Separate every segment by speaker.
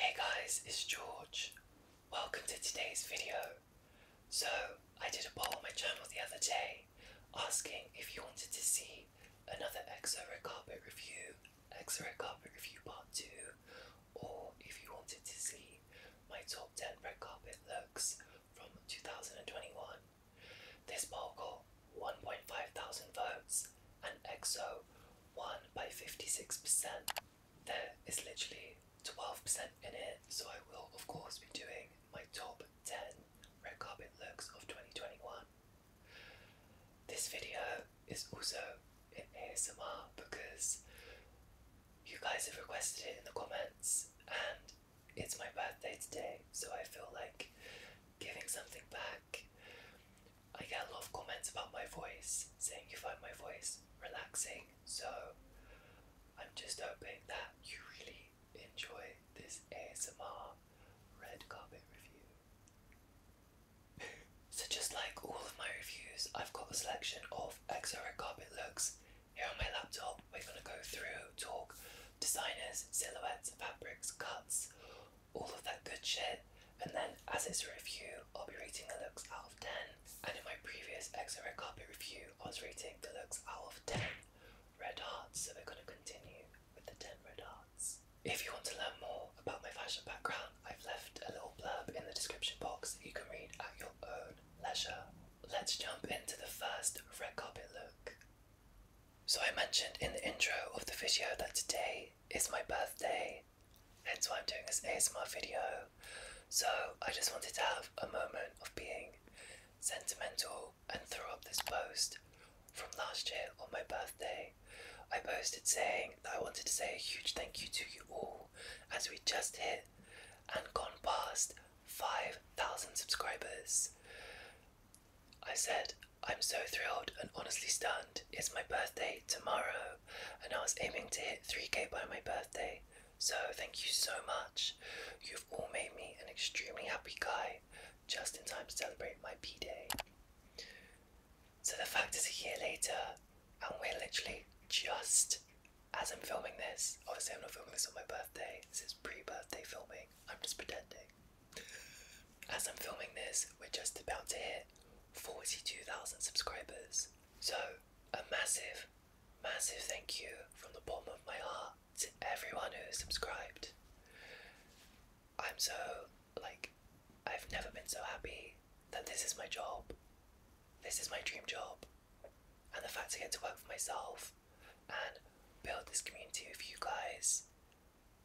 Speaker 1: Hey guys, it's George. Welcome to today's video. So, I did a poll on my channel the other day asking if you wanted to see another EXO Red Carpet review, EXO Red Carpet review part 2, or if you wanted to see my top 10 red carpet looks from 2021. This poll got 1.5 thousand votes and EXO won by 56% there is literally 12% in it, so I will, of course, be doing my top 10 red carpet looks of 2021. This video is also in ASMR because you guys have requested it in the comments, and it's my birthday today, so I feel like giving something back. I get a lot of comments about my voice, saying you find my voice relaxing, so I'm just hoping that you really enjoy this ASMR red carpet review. so, just like all of my reviews, I've got a selection of EXO red carpet looks here on my laptop. We're going to go through, talk designers, silhouettes, fabrics, cuts, all of that good shit. And then, as its review, I'll be rating the looks out of 10. And in my previous XRO carpet review, I was rating the looks out of 10 red hearts, so we're going to continue with the 10 red hearts. If you want to learn more about my fashion background, I've left a little blurb in the description box that you can read at your own leisure. Let's jump into the first red carpet look. So, I mentioned in the intro of the video that today is my birthday, that's why I'm doing this ASMR video. So I just wanted to have a moment of being sentimental and throw up this post from last year on my birthday. I posted saying that I wanted to say a huge thank you to you all as we just hit and gone past 5,000 subscribers. I said, I'm so thrilled and honestly stunned it's my birthday tomorrow, and I was aiming to hit 3k by my birthday. So, thank you so much. You've all made me an extremely happy guy just in time to celebrate my B day. So, the fact is, a year later, and we're literally just as I'm filming this. Obviously, I'm not filming this on my birthday, this is pre birthday filming. I'm just pretending. As I'm filming this, we're just about to hit 42,000 subscribers. So, a massive, massive thank you from the bottom of my heart to everyone who subscribed. I'm so, like, I've never been so happy that this is my job. This is my dream job. And the fact I get to work for myself and build this community with you guys,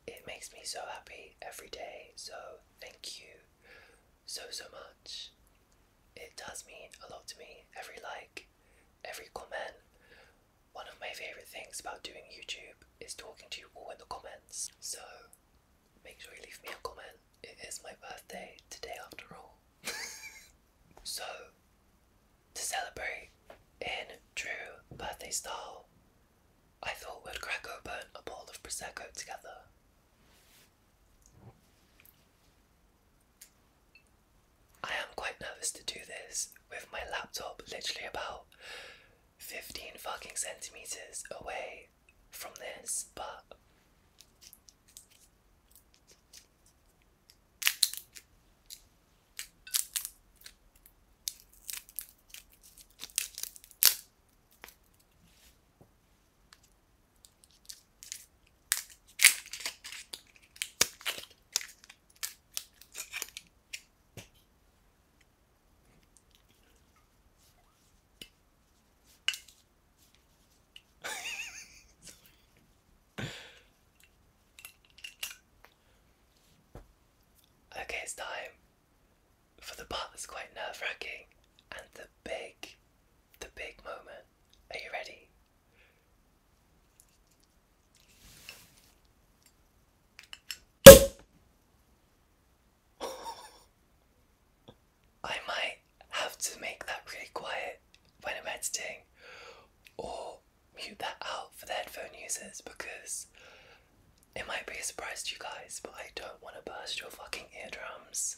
Speaker 1: it makes me so happy every day. So, thank you so, so much. It does mean a lot to me. Every like, every comment. One of my favourite things about doing YouTube is talking to you all in the comments. So, make sure you leave me a comment. It is my birthday today, after all. so, to celebrate in true birthday style, I thought we'd crack open a bowl of Prosecco together. I am quite nervous to do this with my laptop literally about 15 fucking centimeters away from this, but okay, it's time for the part that's quite nerve wracking and the big, the big moment. Are you ready? I might have to make that pretty quiet when I'm editing or mute that out for the headphone users because it might be a surprise to you guys, but I don't want to burst your fucking eardrums.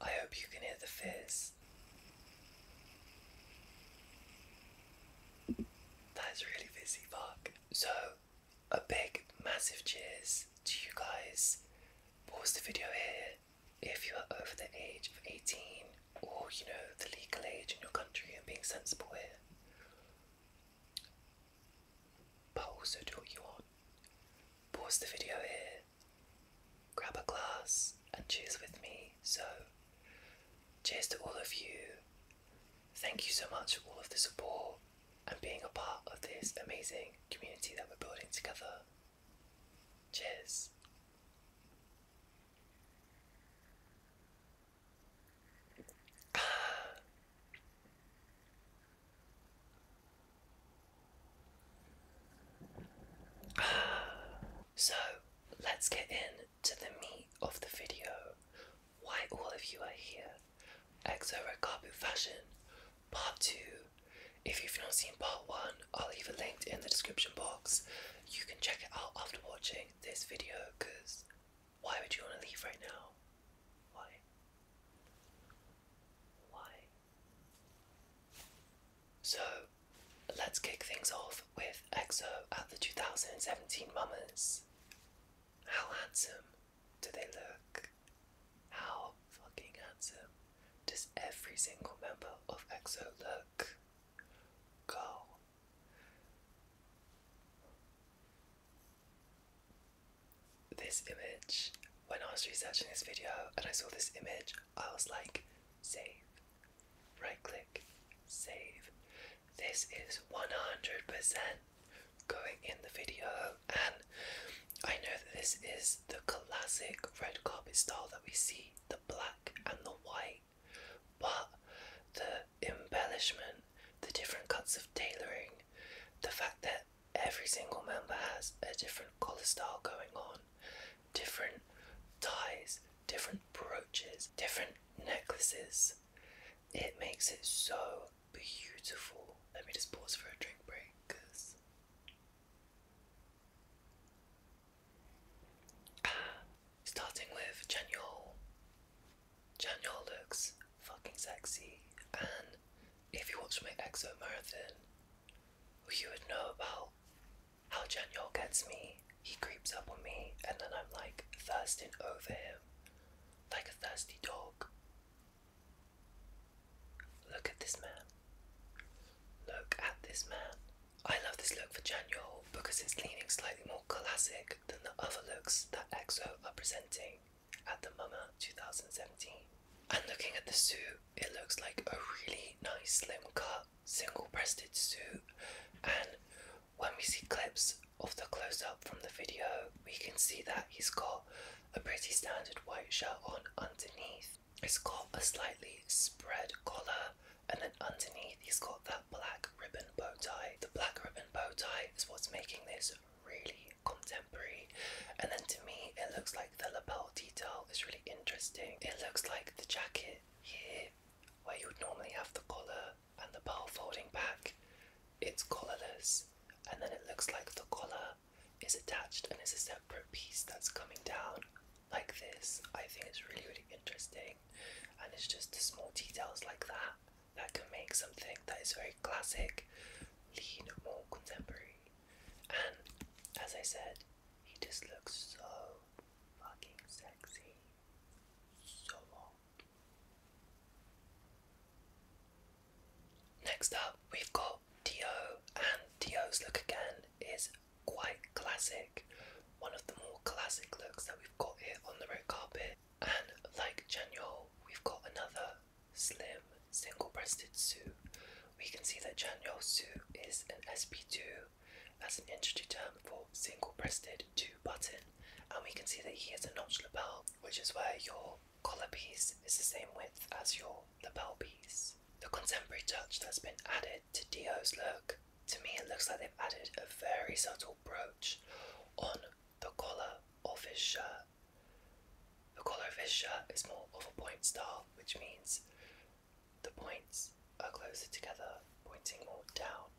Speaker 1: I hope you can hear the fizz. That is really fizzy, fuck. So, a big, massive cheers to you guys. Pause the video here. If you are over the age of 18, or you know, the legal age in your country and being sensible here, polls are taught you on. Pause the video here, grab a glass, and cheers with me. So, cheers to all of you. Thank you so much for all of the support and being a part of this amazing community that we're building together. Cheers. So let's get into the meat of the video. Why all of you are here. Exo Rekabu Fashion Part 2. If you've not seen Part 1, I'll leave a link in the description box. You can check it out after watching this video because why would you want to leave right now? Why? Why? So let's kick things off with EXO at the 2017 Mummers. How handsome do they look? How fucking handsome does every single member of EXO look? Go this image when I was researching
Speaker 2: this video and I saw this image, I was like, save, right click, save. This is 100% going in the video, and I know that this is the classic red carpet style that we see the black and the white, but the embellishment, the different cuts of tailoring,
Speaker 1: the fact that every single member has a different color style going on, different ties, different brooches, different necklaces. It makes it so beautiful. Let me just pause for a drink break because. Starting with Janiol. Janiol looks fucking sexy. And if you watch my EXO marathon, you would know about how Janyol gets me. He creeps up on me, and then I'm like thirsting over him, like a thirsty dog. Look at this man. Look at this man. I love this look for Janyol because it's leaning slightly more classic than the other looks that EXO are presenting at the MoMA 2017. And looking at the suit, it looks like a really nice slim cut single breasted suit. And when we see clips of the close up from the video, we can see that he's got a pretty standard white shirt on underneath. It's got a slightly spread collar, and then underneath, he's got that black ribbon bow tie. The black ribbon bow tie is what's making this really contemporary and then to me it looks like the lapel detail is really interesting. It looks like the jacket here where you would normally have the collar and the bell folding back, it's collarless and then it looks like the collar is attached and is a separate piece that's coming down like this. I think it's really really interesting and it's just the small details like that that can make something that is very classic lean more contemporary. And as I said, he just looks so fucking sexy. So Next up, we've got Dio, and Dio's look again is quite classic. One of the more classic looks that we've got here on the red carpet.
Speaker 2: And like Chanyeol, we've got another slim single-breasted suit. We can see that Changyol Su is
Speaker 1: an SP2. That's an industry term for single-breasted two button. And we can see that he has a notch lapel, which is where your collar piece is the same width as your lapel piece. The contemporary touch that's been added to Dio's look, to me it looks like they've added a very subtle brooch on the collar of his shirt. The collar of his shirt is more of a point style, which means the points are closer together, pointing more down.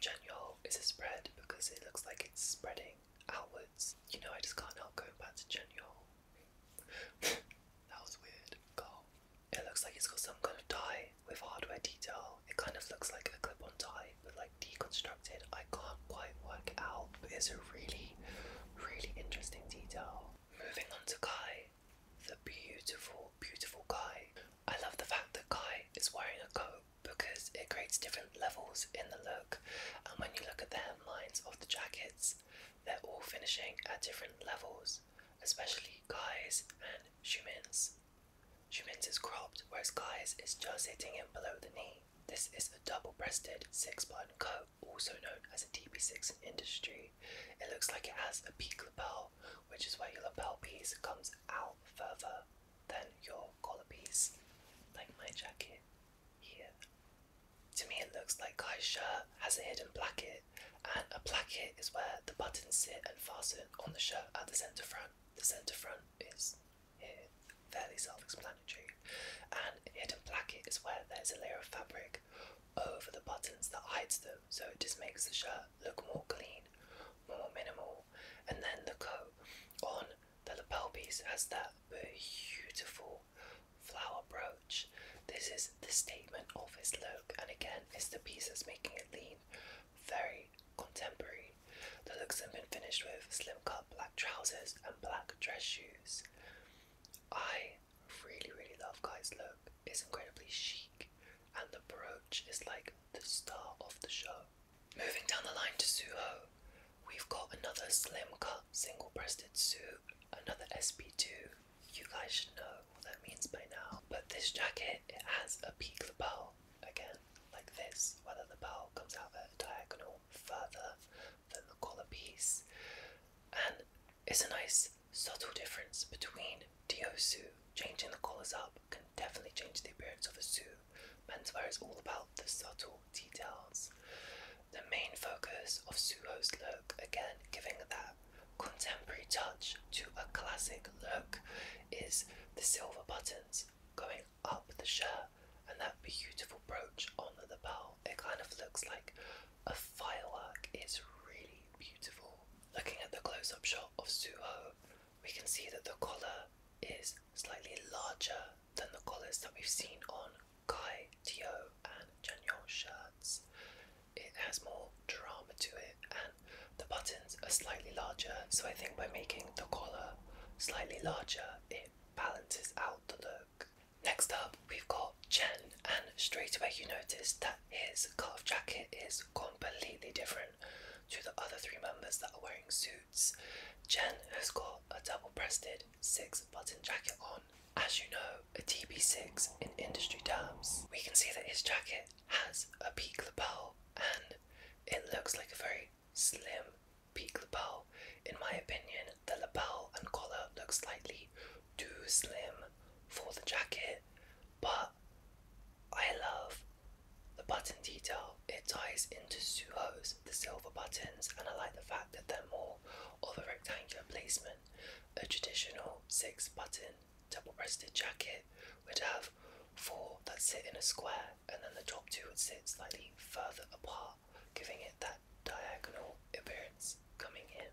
Speaker 1: Genual is a spread because it looks like it's spreading outwards. You know, I just can't help going back to genual. that was weird. God. It looks like it's got some kind of tie with hardware detail. It kind of looks like a clip on tie, but like deconstructed. I can't quite work out, is it really Really interesting detail. Moving on to Kai, the beautiful, beautiful guy. I love the fact that Kai is wearing a coat because it creates different levels in the look, and when you look at the hemlines of the jackets, they're all finishing at different levels, especially Kai's and Shu Min's. Shu Min's is cropped, whereas Kai's is just hitting him below the knee. This is a double breasted six button coat also known as a TB6 in industry. It looks like it has a peak lapel, which is where your lapel piece comes out further than your collar piece, like my jacket here. To me, it looks like Kai's shirt has a hidden placket, and a placket is where the buttons sit and fasten on the shirt at the centre front. The centre front is here, fairly self explanatory. And hidden placket is where there's a layer of fabric over the buttons that hides them, so it just makes the shirt look more clean, more minimal. And then the coat on the lapel piece has that beautiful flower brooch. This is the statement of his look, and again, it's the piece that's making it lean, very contemporary. The looks have been finished with slim cut black trousers and black dress shoes. I really, really love guys. look. It's incredibly chic, and the brooch is like the star of the show. Moving down the line to Suho, we've got another slim cut single breasted suit, another SP2. You guys should know what that means by now. But this jacket,
Speaker 2: it has a peak lapel, again, like this, whether the bell comes out at a diagonal
Speaker 1: further the collar piece, and it's a nice subtle difference between Diosu changing the colors up can definitely change the appearance of a suit. Menswear is all about the subtle details. The main focus of Suho's look, again giving that contemporary touch to a classic look, is the silver buttons going up the shirt and that beautiful brooch on the belt. It kind of looks like a firework is really beautiful. Looking at the close up shot of Suho, we can see that the collar is slightly larger than the collars that we've seen on Kai, Tio, and Janyon shirts. It has more drama to it, and the buttons are slightly larger. So I think by making the collar slightly larger, it balances out the look. Next up, we've got Chen, and straight away you notice that his cuff jacket is completely different to the other three members that are wearing suits. Chen has got a double breasted six button jacket on. As you know, a TB6 in industry terms. We can see that his jacket has a peak lapel and it looks like a very slim peak lapel in my opinion, the lapel and collar look slightly too slim for the jacket, but I love the button detail. It ties into Suho's, the silver buttons, and I like the fact that they're more of a rectangular placement. A traditional six button double breasted jacket would have four that sit in a square, and then the top two would sit slightly further apart giving it that diagonal appearance coming in.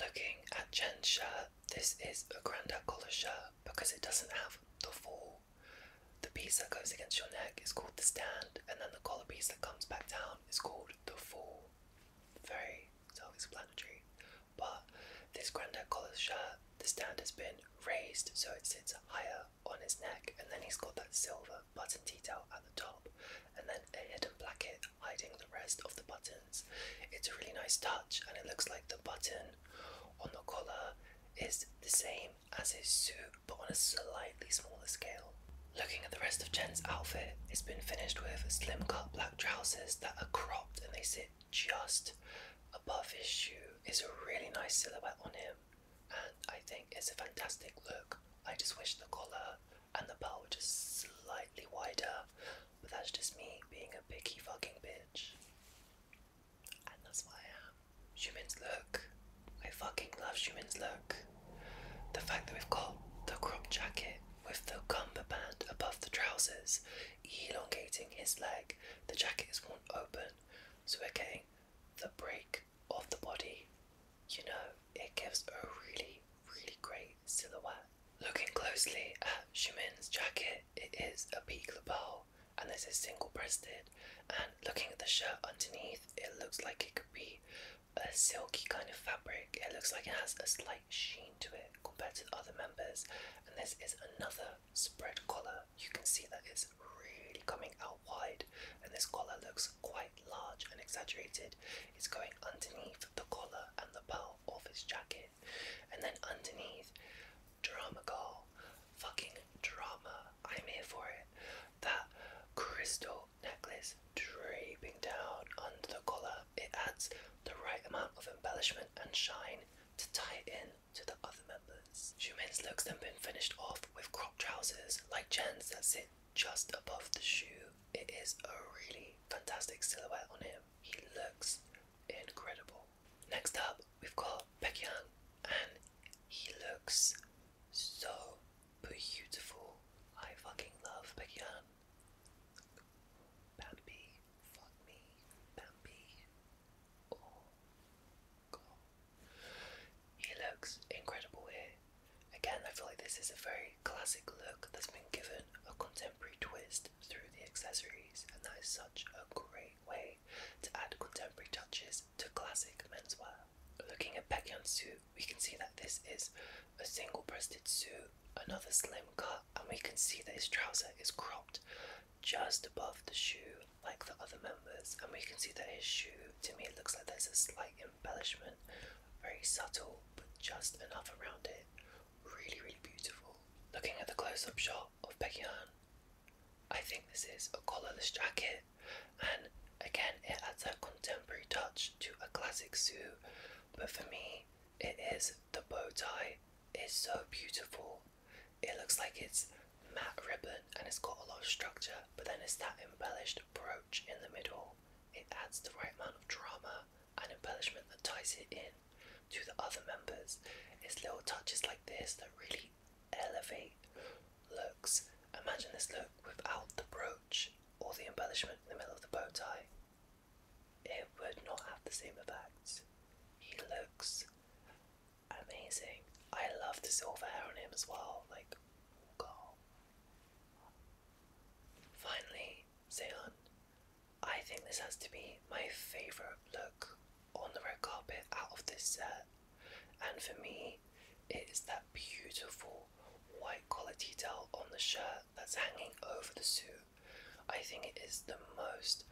Speaker 1: Looking at Jen's shirt, this is a grandad collar shirt because it doesn't have the fall. The piece that goes against your neck is called the stand, and then the collar piece that comes back down is called the fall. Very self explanatory. But this grandad collar shirt, the stand has been raised so it sits higher on his neck, and then he's got that silver
Speaker 2: button detail at the top, and then a hidden placket hiding the rest of the buttons.
Speaker 1: It's a really nice touch and it looks like the button on the collar is the same as his suit but on a slightly smaller scale. Looking at the rest of
Speaker 2: Jen's outfit, it's been finished with slim cut black trousers that are cropped and they sit just above his shoe. It's a really nice silhouette on him and I
Speaker 1: think it's a fantastic look. I just wish the collar and the bow just slightly wider, but that's just me being a picky fucking bitch. And that's why I am. Humans look. I fucking love humans look. The fact that we've got the crop jacket with the cumber band above the trousers, elongating his leg. The jacket is worn open, so we're getting the break of the body you know, it gives a really, really great silhouette. Looking closely at Shumin's jacket, it is a peak lapel and this is single breasted. And looking at the shirt underneath, it looks like it could be a silky kind of fabric. It looks like it has a slight sheen to it compared to other members. And this is another spread collar. You can see that it's really coming out wide, and this collar looks quite large and exaggerated. It's going underneath the collar and the belt of his jacket, and then underneath, drama girl, fucking drama. I'm here for it. That crystal necklace draping down under the collar. It adds the right amount of embellishment and shine to tie in to the other members. Shumin's looks then been finished off with crop trousers like Jen's That's it just above the shoe. It is a really fantastic silhouette on him. He looks incredible. Next up, we've got Pekyang, and he looks so beautiful. I fucking love Pekyang. Bambi, fuck me, Bambi. Oh, God. He looks incredible here. Again, I feel like this is a very classic look that's been given a contemporary twist through the accessories, and that is such a great way to add contemporary touches to classic menswear. Looking at Baekhyun's suit, we can see that this is a single breasted suit, another slim cut, and we can see that his trouser is cropped just above the shoe, like the other members. And we can see that his shoe, to me, looks like there's a slight embellishment, very subtle but just enough around it. Really, really beautiful. Looking at the close up shot of Becky Ann, I think this is a collarless jacket, and again, it adds a contemporary touch to a classic suit. But for me, it is the bow tie, Is so beautiful. It looks like it's matte ribbon and it's got a lot of structure, but then it's that embellished brooch in the middle. It adds the right amount of drama and embellishment that ties it in to the other members. It's little touches like this that really elevate looks. Imagine this look without the brooch or the embellishment in the middle of the bow tie. It would not have the same effect. He looks amazing. I love the silver hair on him as well. Like, oh Finally, Ceylon. I think this has to be my favourite look on the red carpet out of this set. And for me, it is that beautiful white collar detail on the shirt that's hanging over the suit. I think it is the most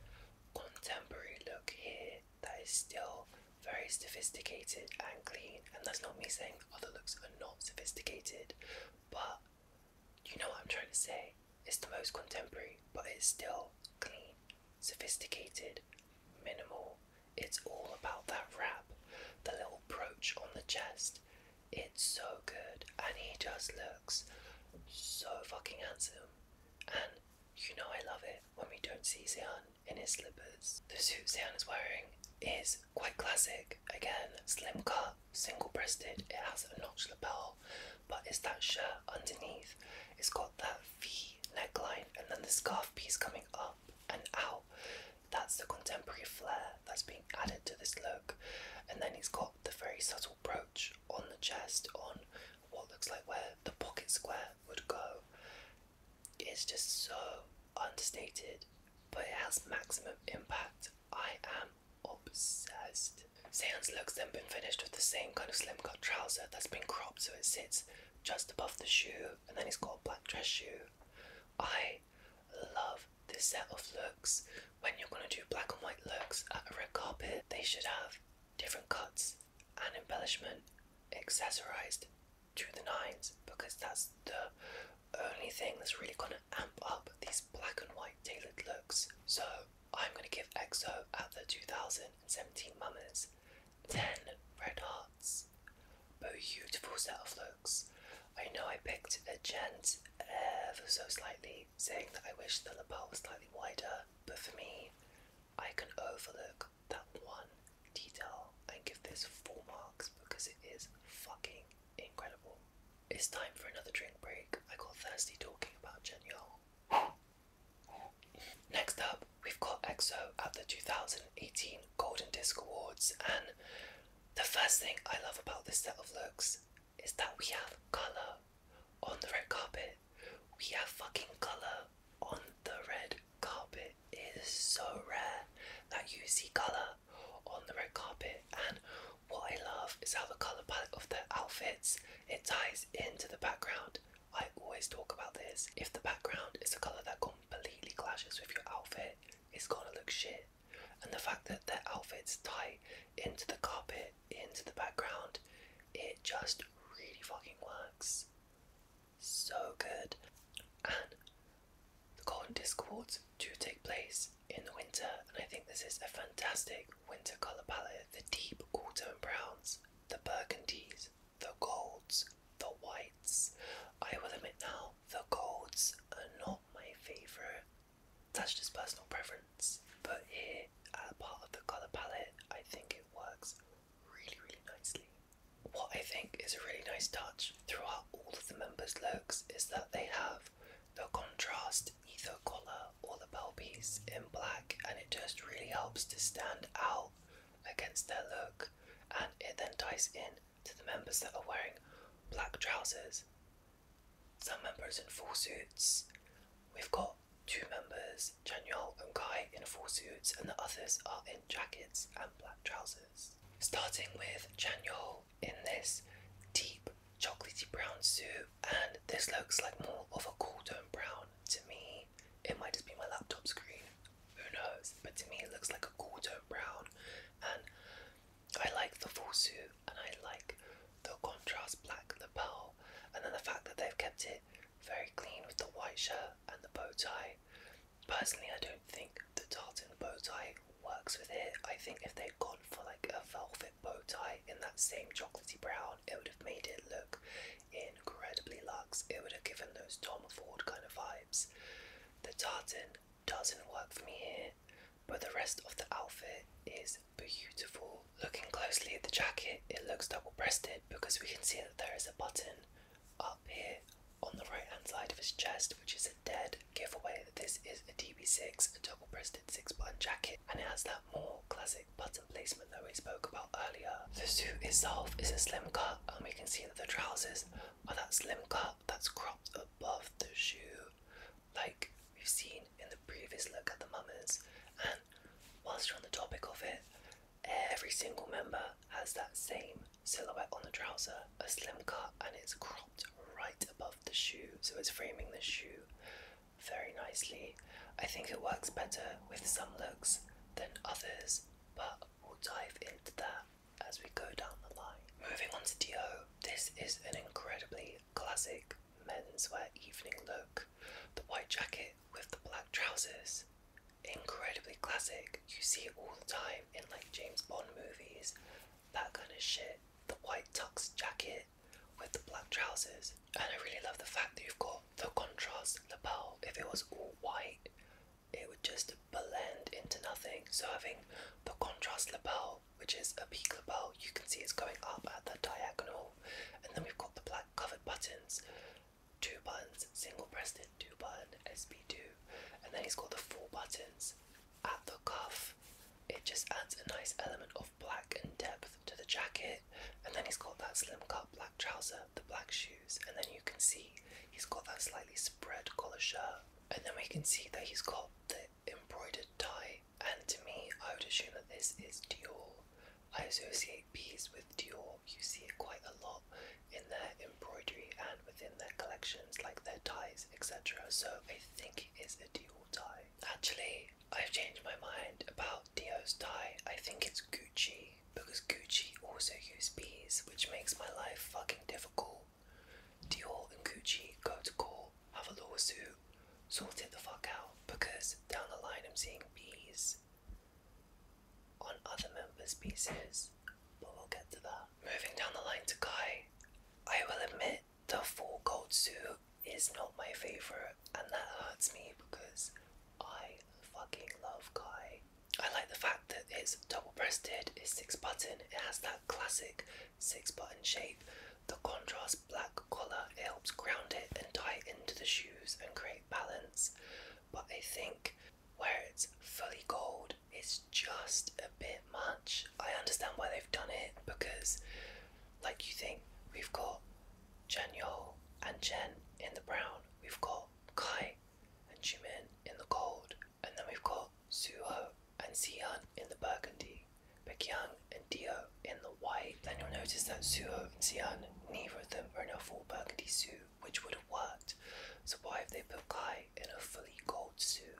Speaker 1: contemporary look here that is still very sophisticated and clean. And that's not me saying other looks are not sophisticated, but you know what I'm
Speaker 2: trying to say? It's the most contemporary, but it's still clean, sophisticated, minimal. It's all about that wrap, the little brooch on the chest. It's so good, and he just looks so fucking handsome. And you know I love it when we don't see Xian in his slippers. The suit Xian is wearing is quite classic. Again, slim cut, single breasted, it has a notch lapel,
Speaker 1: but it's that shirt underneath. It's got that V neckline and then the scarf piece coming up and out. That's the contemporary flair that's being added to this look. And then he's got the very subtle brooch on the chest, on what looks like where the pocket square would go. It's just so understated, but it has maximum impact. I am obsessed. Seon's looks then been finished with the same kind of slim cut trouser that's been cropped so it sits just above the shoe, and then he's got black dress shoe. I love this set of looks. When you're gonna do black and white looks at a red carpet, they should have different cuts and embellishment accessorized to the nines because that's the only thing that's really going to to amp up these black and white tailored looks, so I'm going to give EXO at the 2017 Mummers 10 red hearts. Beautiful set of looks. I know I picked a gent ever so slightly, saying that I wish the lapel was slightly wider, but for me, I can overlook that one detail and give this 4 marks because it is fucking incredible. It's time for another drink break. I got thirsty talking about Jen Yol. Next up, we've got EXO at the 2018 Golden Disc Awards, and the first thing I love about this set of looks is that we have colour on the red carpet. We have fucking colour on the red carpet. It is so rare that you see colour on the red carpet, and what I love is how the colour palette of their outfits it ties into the background. I always talk about this. If the background is a colour that completely clashes with your outfit, it's gonna look shit. And the fact that their outfits tie into the carpet, into the background, it just really fucking works. So good. And the Golden Disc Awards do take place in the winter, and I think this is a fantastic winter colour palette. The deep autumn browns, the burgundies, the golds, the whites. I will admit now, the golds are not my favourite. That's just personal preference. But here, as part of the colour palette, I think it works really, really nicely. What I think is a really nice touch throughout all of the members' looks is that they have the contrast, either collar or the pearl piece in black, and it just really helps to stand out against their look. And it then ties in to the members that are wearing black trousers, some members in full suits. We've got two members, Chanyol and Kai, in full suits, and the others are in jackets and black trousers. Starting with Chanyol, in this deep chocolatey brown soup and this looks like more of a cool brown to me. It might just be my laptop screen, who knows? But to me it looks like a cool brown and I like the full suit and I like the contrast black, the pearl, and then the fact that they've kept it very clean with the white shirt and the bow tie. Personally, I don't think the tartan bow tie works with it. I think if they'd gone for like a velvet bow tie in that same chocolatey brown, it would have made it look incredibly luxe. It would have given those Tom Ford kind of vibes. The tartan doesn't work for me here, but the rest of the outfit is beautiful. Looking closely at the jacket, it looks double breasted because we can see that there is a button up here on the right hand side of his chest, which is dead giveaway that this is a DB6, a double breasted six button jacket, and it has that more classic button placement that we spoke about earlier. The suit itself is a slim cut, and we can see that the trousers are that slim cut that's cropped above the shoe, like we've seen in the previous look at the mummers. And whilst we are on the topic of it, every single member has that same silhouette on the trouser, a slim cut, and it's cropped right above the shoe, so it's framing the shoe very nicely. I think it works better with some looks than others, but we'll dive into that as we go down the line. Moving on to Dio, this is an incredibly classic menswear evening look. The white jacket with the black trousers, incredibly classic. You see it all the time in like James Bond movies, that kind of shit the white tux jacket with the black trousers. And I really love the fact that you've got the contrast lapel. If it was all white, it would just blend into nothing. So having the contrast lapel, which is a peak lapel, you can see it's going up at the diagonal. And then we've got the black covered buttons, two buttons, single breasted, two button, SB2. And then he's got the four buttons at the cuff, it just adds a nice element of black and depth to the jacket. And then he's got that slim cut black trouser, the black shoes, and then you can see he's got that slightly spread collar shirt. And then we can see that he's got the embroidered tie. And to me, I would assume that this is Dior. I associate these with Dior. You see it quite a lot in their embroidery and within their collections, like their ties, etc. So I think it is a Dior Actually, I've changed my mind about Dio's tie. I think it's Gucci because Gucci also use bees, which makes my life fucking difficult. Dior and Gucci go to court, have a lawsuit, sort it the fuck out
Speaker 2: because down the line I'm seeing bees on other members' pieces, but we'll get to that. Moving down the line to Kai, I will admit the full gold suit is not my favorite, and that hurts me because I fucking love Kai. I like the fact that it's double breasted,
Speaker 1: it's six button, it has that classic six button shape. The contrast black color helps ground it and tie it into the shoes and create balance. But I think where it's fully gold, it's just a bit much. I understand why they've done it because, like, you think we've got Chen Yol and Chen in the brown, we've got Kai and Jimin in the gold, and then we've got Suho and Xian in the burgundy, Baekhyun and Dio in the white. Then you'll notice that Suho and Xian, neither of them are in a full burgundy suit, which would have worked. So why have they put Kai in a fully gold suit?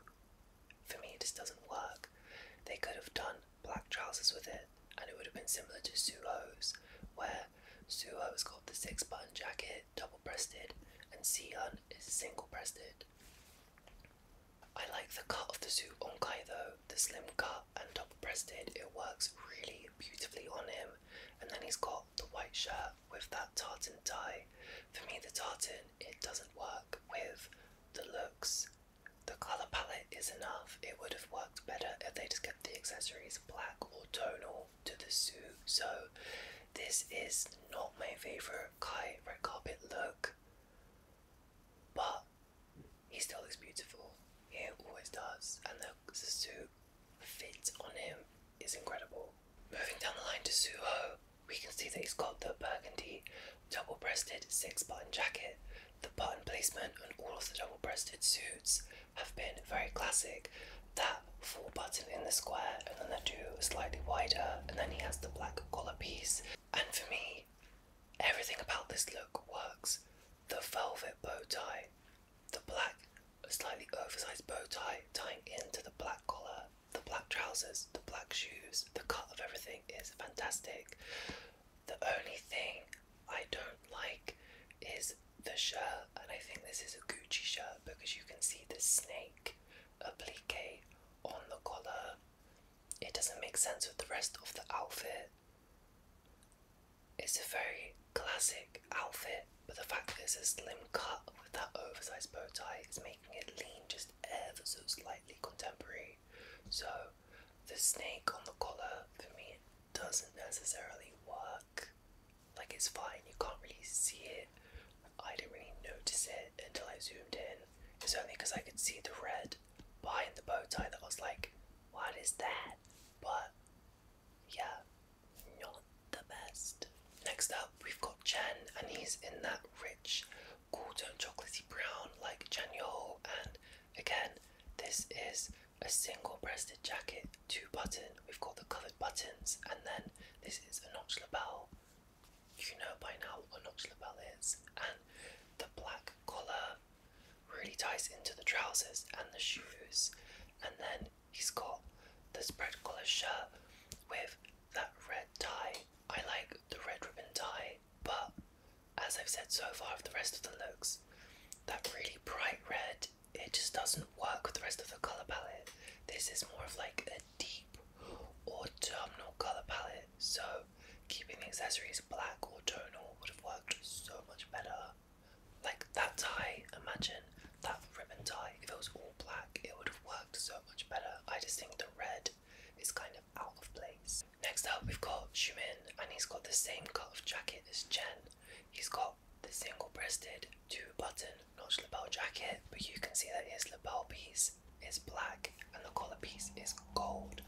Speaker 1: For me, it just doesn't work. They could have done black trousers with it, and it would have been similar to Suho's, where Suho's got the six button jacket, double breasted, and Sihun is single breasted. I like the cut of the suit on Kai though, the slim cut and double breasted, it works really beautifully on him. And then he's got the white shirt with that tartan tie. For me, the tartan, it doesn't work with the looks the colour palette is enough. It would have worked better if they just kept the accessories black or tonal to the suit. So this is not my favourite Kai red carpet look. But he still looks beautiful. He always does. And the, the suit fit on him is incredible. Moving down the line to Suho we can see that he's got the burgundy double breasted six button jacket. The button placement on all of the double breasted suits have been very classic. That four button in the square, and then the two slightly wider, and then he has the black collar piece. And for me, everything about this look works. The velvet bow tie, the black, slightly oversized bow tie tying into the black collar, the black trousers, the black shoes, the cut of everything is fantastic. The only thing I don't like is the shirt, and I think this is a Gucci shirt because you can see the snake applique on the collar. It doesn't make sense with the rest of the outfit. It's a very classic outfit, but the fact that it's a slim cut with that oversized bow tie is making it lean just ever so slightly contemporary. So the snake on the collar for me doesn't necessarily work. Like it's fine, you can't really see it. I didn't really notice it until I zoomed in. It's only because I could see the red behind the bow tie that I was like, what is that? But yeah, not the best. Next up, we've got Chen, and he's in that rich cool tone chocolatey brown like Chanyeol and again this is a single breasted jacket, two button, we've got the covered buttons and then this is a notch lapel. You know by now what a notch lapel is and the black collar really ties into the trousers and the shoes and then he's got this spread collar shirt with that red tie. I like the red ribbon tie but as I've said so far of the rest of the looks, that really bright red, it just doesn't work with the rest of the colour palette. This is more of like a deep autumnal colour palette, so keeping the accessories black or tonal would have worked so much better. Like that tie, imagine that ribbon tie, if it was all black, it would have worked so much better. I just think the red He's kind of out of place. Next up, we've got Shumin, and he's got the same cut of jacket as Chen. He's got the single breasted, two button notch lapel jacket, but you can see that his lapel piece is black and the collar piece is gold.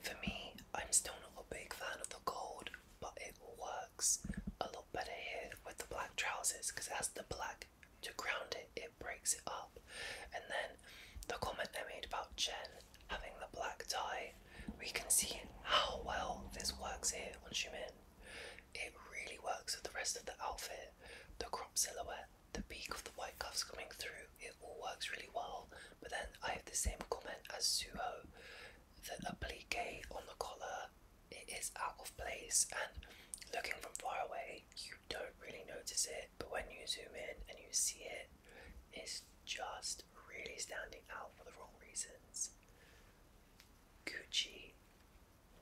Speaker 1: For me, I'm still not a big fan of the gold, but it works a lot better here with the black trousers because it has the black to ground It breaks it up. And then the comment they made about Jen having the black tie, we can see how well this works here Once you on in, It really works with the rest of the outfit, the crop silhouette, the peak of the white cuffs coming through, it all works really well. But then I have the same comment as Suho, the applique on the collar, it is out of place and looking from far away you don't really notice it but when you zoom in and you see it it is just really standing out for the wrong reasons. Gucci,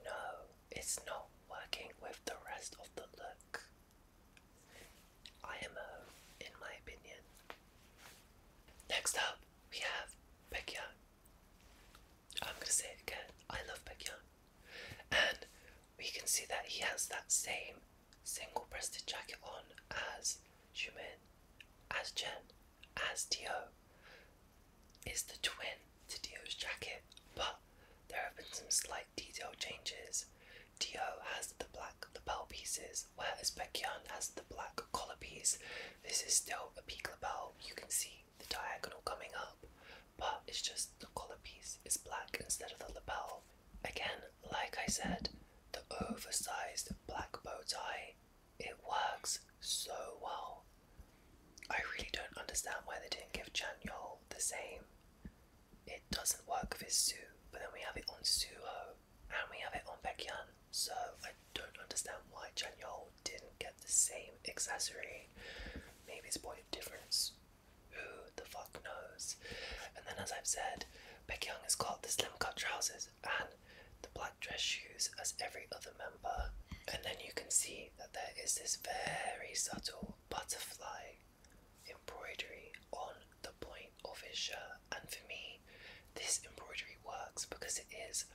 Speaker 1: no, it's not working with the rest of the look. IMO, in my opinion. Next up, we have Pecquiao. I'm gonna say it again. I love Pecquiao, and we can see that he has that same single breasted jacket on as Shumin, as Jen, as Dio. It's the twin to Dio's jacket, but there have been some slight detail changes. Dio has the black lapel pieces, whereas Baekhyun has the black collar piece. This is still a peak lapel, you can see the diagonal coming up, but it's just the collar piece is black instead of the lapel. Again, like I said, the oversized black bow tie, it works so well. I really don't understand why they didn't give Chan Yol the same. It doesn't work for Su, but then we have it on Suho and we have it on Baekhyun, so I don't understand why Chan didn't get the same accessory. Maybe it's point of difference. Who the fuck knows? And then, as I've said, Becky Young has got the slim cut trousers and the black dress shoes as every other member. And then you can see that there is this very subtle butterfly embroidery on the point of his shirt. And for me, this embroidery works because it is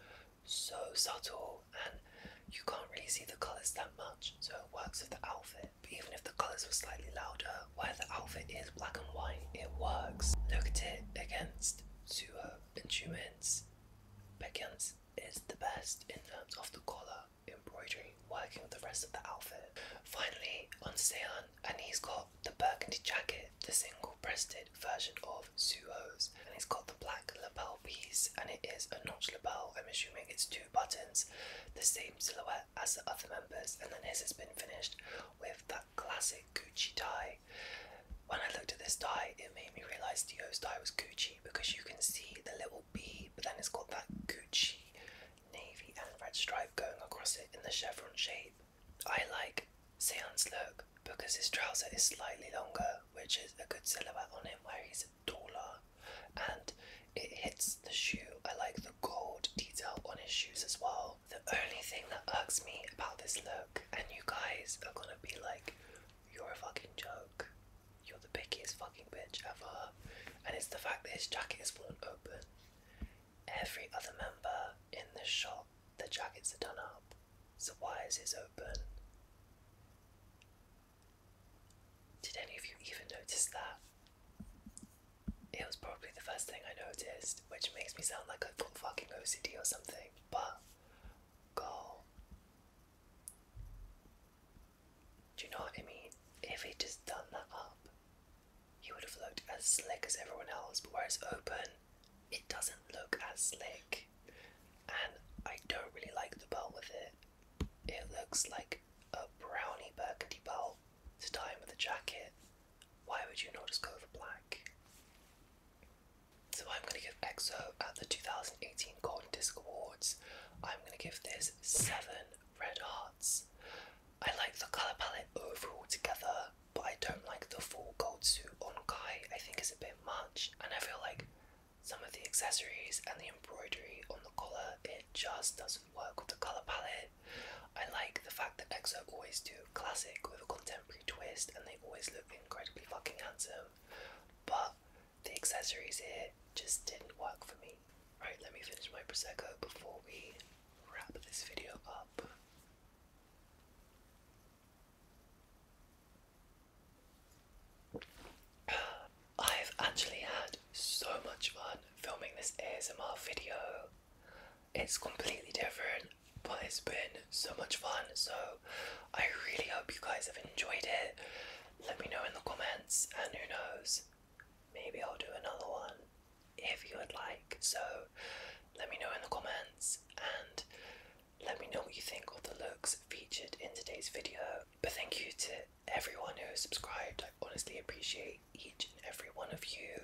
Speaker 1: so subtle and you can't really see the colours that much, so it works with the outfit even if the colours were slightly louder, where the outfit is black and white, it works. Look at it against Suho and Humans. Beckens is the best in terms of the collar embroidery working with the rest of the outfit. Finally, on Seon, and he's got the burgundy jacket, the single breasted version of Suho's, and he's got the black lapel piece, and it is a notch lapel. I'm assuming it's two buttons, the same silhouette as the other members, and then his has been finished with that classic Gucci tie. When I looked at this tie, it made me realise Dio's tie was Gucci because you can see the little B, but then it's got that Gucci navy and red stripe going across it in the chevron shape. I like Sean's look because his trouser is slightly longer, which is a good silhouette on him where he's taller, and it hits the shoe. I like the gold detail on his shoes as well. The only thing that irks me about this look, and you guys are gonna be like, you're a fucking joke. You're the pickiest fucking bitch ever. And it's the fact that his jacket is blown open. Every other member in the shop, the jackets are done up. So why is his open? Did any of you even notice that? It was probably the first thing I noticed, which makes me sound like I've got fucking OCD or something, but goal. Do you know what I mean? If he'd just done that up, he would have looked as slick as everyone else, but where open, it doesn't look as slick. And I don't really like the belt with it. It looks like a brownie burgundy belt to tie in with a jacket, why would you not just go for black? So I'm going to give EXO at the 2018 Golden
Speaker 2: Disc Awards, I'm going to give this 7 red hearts. I like the colour palette overall together, but I don't like the full gold suit on Kai,
Speaker 1: I think is a bit much, and I feel like some of the accessories and the embroidery on the collar, it just does not work with colour palette. I like the fact that EXO always do classic with a contemporary twist and they always look incredibly fucking handsome. But the accessories here just didn't work for me. Right, let me finish my Prosecco before we wrap this video up. I've actually had so much fun filming this ASMR video. It's completely different, but it's been so much fun. So I really hope you guys have enjoyed it. Let me know in the comments, and who knows, maybe I'll do another one if you would like. So let me know in the comments and let me know what you think of the looks featured in today's video. But thank you to everyone who subscribed. I honestly appreciate each and every one of you.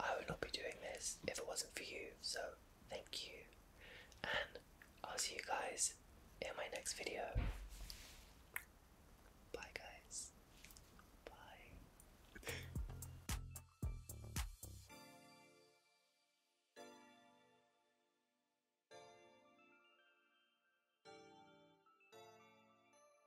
Speaker 1: I would not be doing this if it wasn't for you, so thank you. And I'll see you guys in my next video. Bye, guys. Bye.